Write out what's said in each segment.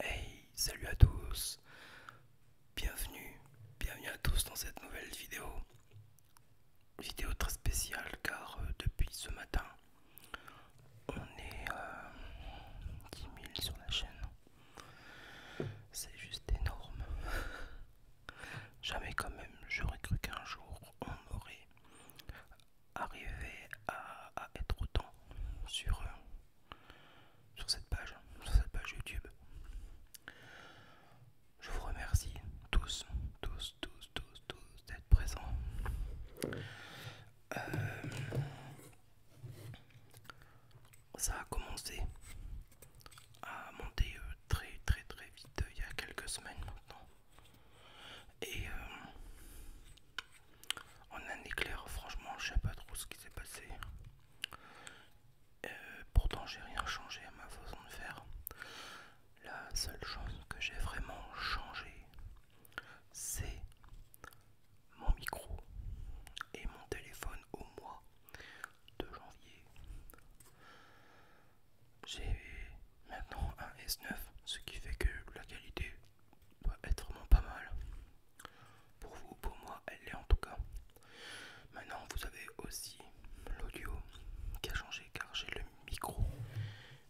Hey, salut à tous, bienvenue, bienvenue à tous dans cette nouvelle vidéo. Vidéo très spéciale car euh, depuis ce matin, on est 10 euh, 000 sur la chaîne. C'est juste énorme. Jamais quand même j'aurais cru qu'un jour on aurait arriver à, être autant sur, euh, sur cette page, sur cette page YouTube. Je vous remercie tous, tous, tous, tous, tous d'être présents. Euh, ça a commencé à monter euh, très très très vite il y a quelques semaines maintenant. Et euh, en un éclair, franchement, je sais pas trop ce qui s'est passé. Euh, pourtant, j'ai rien changé à ma façon de faire. La seule chose que j'ai vraiment changé, c'est mon micro et mon téléphone au mois de janvier. J'ai maintenant un S9, ce qui fait que la qualité doit être vraiment pas mal. Pour vous, pour moi, elle l'est en tout cas. Maintenant, vous avez aussi l'audio qui a changé car j'ai le micro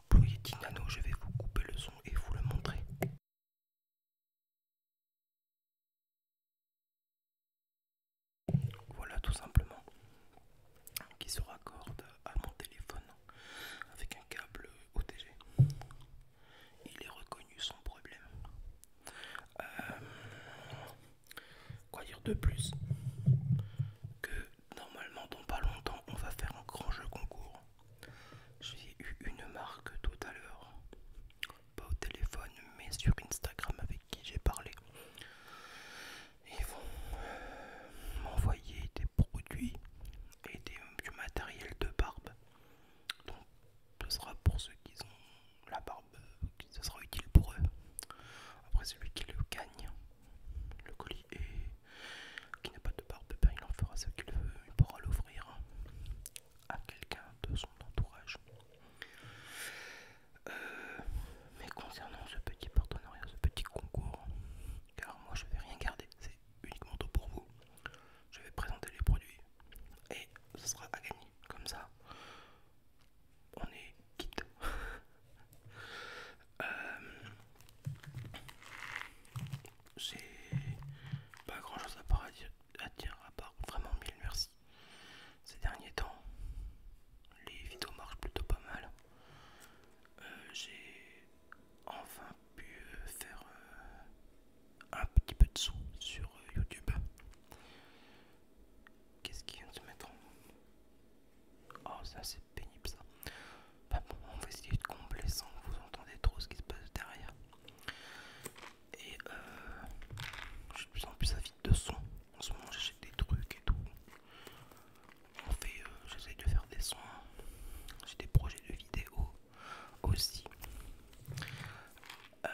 Pour Yeti Nano. Je vais vous couper le son et vous le montrer. Voilà tout simplement qui se raccorde à mon téléphone avec un câble OTG. Il est reconnu sans problème. Euh, quoi dire de plus Que normalement dans pas longtemps on va faire un grand jeu concours. J'ai eu une marque tout à l'heure, pas au téléphone mais sur Instagram avec qui j'ai parlé ils vont euh, m'envoyer des produits et du matériel de barbe. Donc, ce sera pour ceux qui ont la barbe, ce sera utile pour eux. Après, celui qui le gagne, le colis, et qui n'a pas de barbe, ben, il en fera ce qu'il veut, il pourra l'offrir à quelqu'un de son entourage. Euh, mais concernant ce petit partenariat, ce petit concours, car moi je vais rien garder, c'est uniquement pour vous. Je vais présenter les produits et ce sera à gagner. Comme ça, on est quitte. C'est euh, J'ai pas grand chose à dire, à part vraiment mille merci. Ces derniers temps, les vidéos marchent plutôt pas mal. Euh, j'ai enfin pu euh, faire euh, un petit peu de sous sur YouTube. Qu'est-ce qui vient de se mettre en... Oh ça c'est pénible ça. Bah bon, on va essayer de combler sans que vous entendez trop ce qui se passe derrière. Et euh, je suis de plus en plus avide de son. En ce moment, j'achète des trucs et tout. On fait, euh, de faire des soins, J'ai des projets de vidéos aussi. Euh,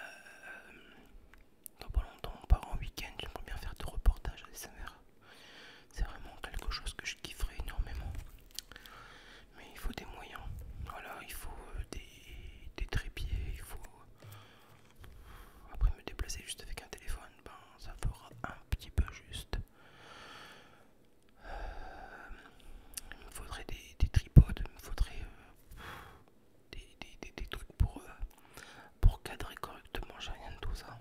dans pas longtemps, par part en week-end. J'aimerais bien faire des reportages à SNR. C'est vraiment quelque chose que je kifferais énormément. Mais il faut des moyens. Voilà, il faut euh, des, des trépieds, il faut après me déplacer juste avec un téléphone, ben ça fera un petit peu juste. il euh, me faudrait des, tripodes, il me faudrait euh, des, trucs pour, euh, pour cadrer correctement, j'ai rien de tout ça.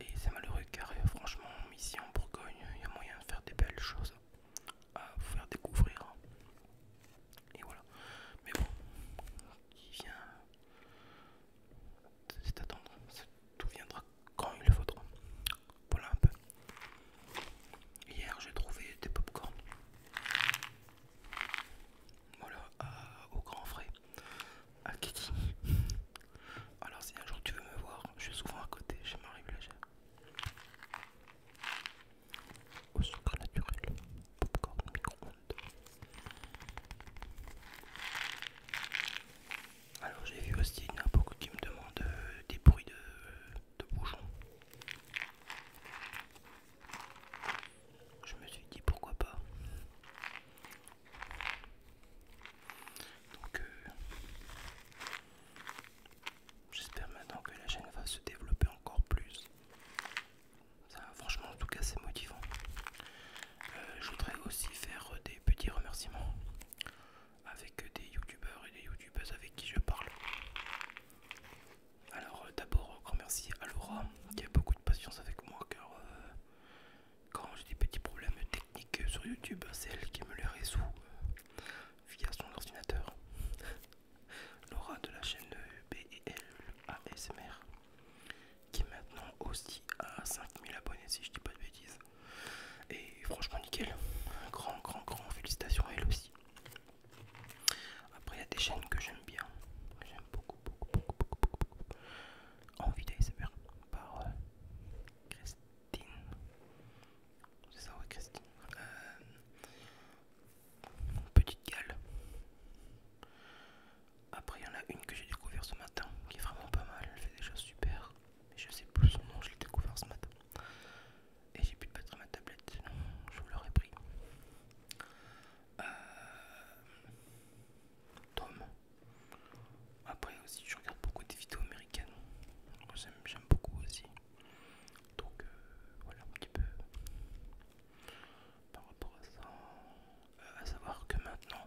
Et c'est malheureux car franchement ici en Bourgogne, il y a moyen de faire des belles choses à vous faire découvrir. Et voilà. Mais bon, qui vient c'est attendre, tout viendra quand il le faudra. Voilà un peu. Hier j'ai trouvé des pop Voilà, au grand frais, à Kiki. Alors si un jour tu veux me voir, je suis souvent à côté chez Marie Blagère au sucre naturel, popcorn micro Alors j'ai vu aussi, qu'il y en a beaucoup qui me demandent euh, des bruits de, bouchons. Je me suis dit pourquoi pas. Donc euh, j'espère maintenant que la chaîne va se développer encore plus franchement, en tout cas, c'est motivant. Euh, je voudrais aussi faire des petits remerciements avec des youtubeurs et des youtubeuses avec qui je parle. Alors, euh, d'abord, grand merci à Laura qui a beaucoup de patience avec moi car euh, quand j'ai des petits problèmes techniques sur YouTube, c'est elle qui me les résout via son ordinateur. Laura de la chaîne SMR qui maintenant aussi à 5000 abonnés si je dis pas de bêtises. Et franchement nickel, grand grand grand félicitations à elle aussi. Après il y a des chaînes que j'aime bien, j'aime beaucoup beaucoup beaucoup beaucoup beaucoup. Envie d'ASMR par euh, Christine. C'est ça ouais Christine. Euh, petite gale. Après, il y en a une que j'ai découvert ce matin qui est vraiment pas mal. Elle fait des choses super. Mais je sais plus son nom, je l'ai découvert ce matin. Et j'ai pu de ma tablette, sinon je vous l'aurais pris. Euh, Tom. Après aussi, je regarde beaucoup des vidéos américaines. J'aime beaucoup aussi. Donc euh, voilà un petit peu par rapport à ça. Euh, à savoir que maintenant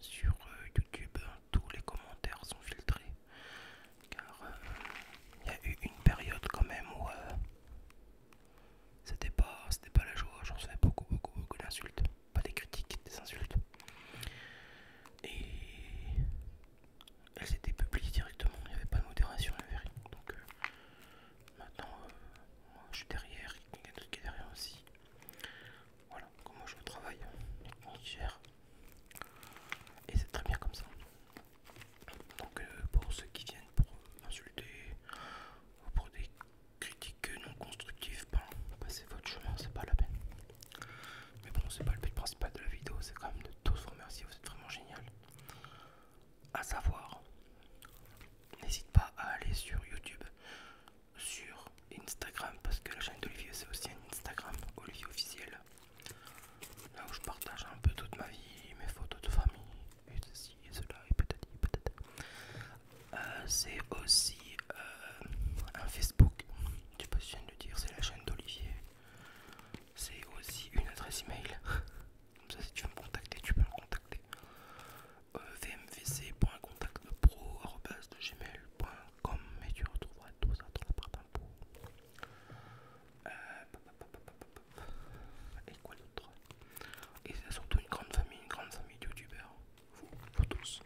sur euh, YouTube hein, tous les commentaires sont filtrés car il y a eu une période quand même où c'était pas c'était pas la joie, j'en recevais beaucoup beaucoup beaucoup d'insultes, pas des critiques, des insultes. Et elles étaient publiées directement, il n'y avait pas de modération la Donc euh, maintenant euh, moi, je suis derrière, il y quelqu'un d'autre qui est derrière aussi. Voilà, comment je travaille, on gère. Et c'est très bien comme ça. Donc euh, pour ceux qui viennent pour insulter ou pour des critiques non constructives, ben, passez votre chemin, c'est pas la peine. Mais bon, c'est pas le but principal de la vidéo, c'est quand même de tous vous remercier, vous êtes vraiment génial. À savoir, n'hésite pas à aller sur YouTube, sur Instagram, parce que la chaîne d'Olivier c'est aussi un Instagram, Olivier officiel. Là où je partage un peu toute ma vie, mes photos de famille, et ceci et cela, et peut-être, peut-être. Euh, c'est aussi euh, un Facebook, tu viens de le dire, c'est la chaîne d'Olivier c'est aussi une adresse email. Comme ça, si tu veux me contacter, tu peux me contacter. Euh, Vmvc.contactpro.com et tu retrouveras tout ça dans la barre euh, et quoi d'autre Et c'est surtout une grande famille, une grande famille de youtubeurs. vous tous.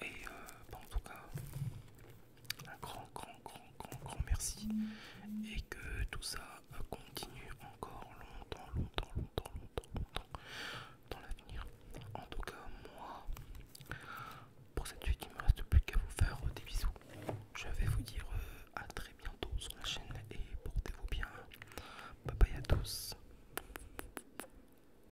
Et euh, bah, en tout cas, un grand, grand, grand, grand, grand merci. Et que tout ça euh, continue encore longtemps, longtemps, longtemps, longtemps, longtemps dans l'avenir. En tout cas, moi, pour cette suite, il me reste plus qu'à vous faire euh, des bisous. Je vais vous dire à très bientôt sur la chaîne et portez-vous bien. Bye bye à tous.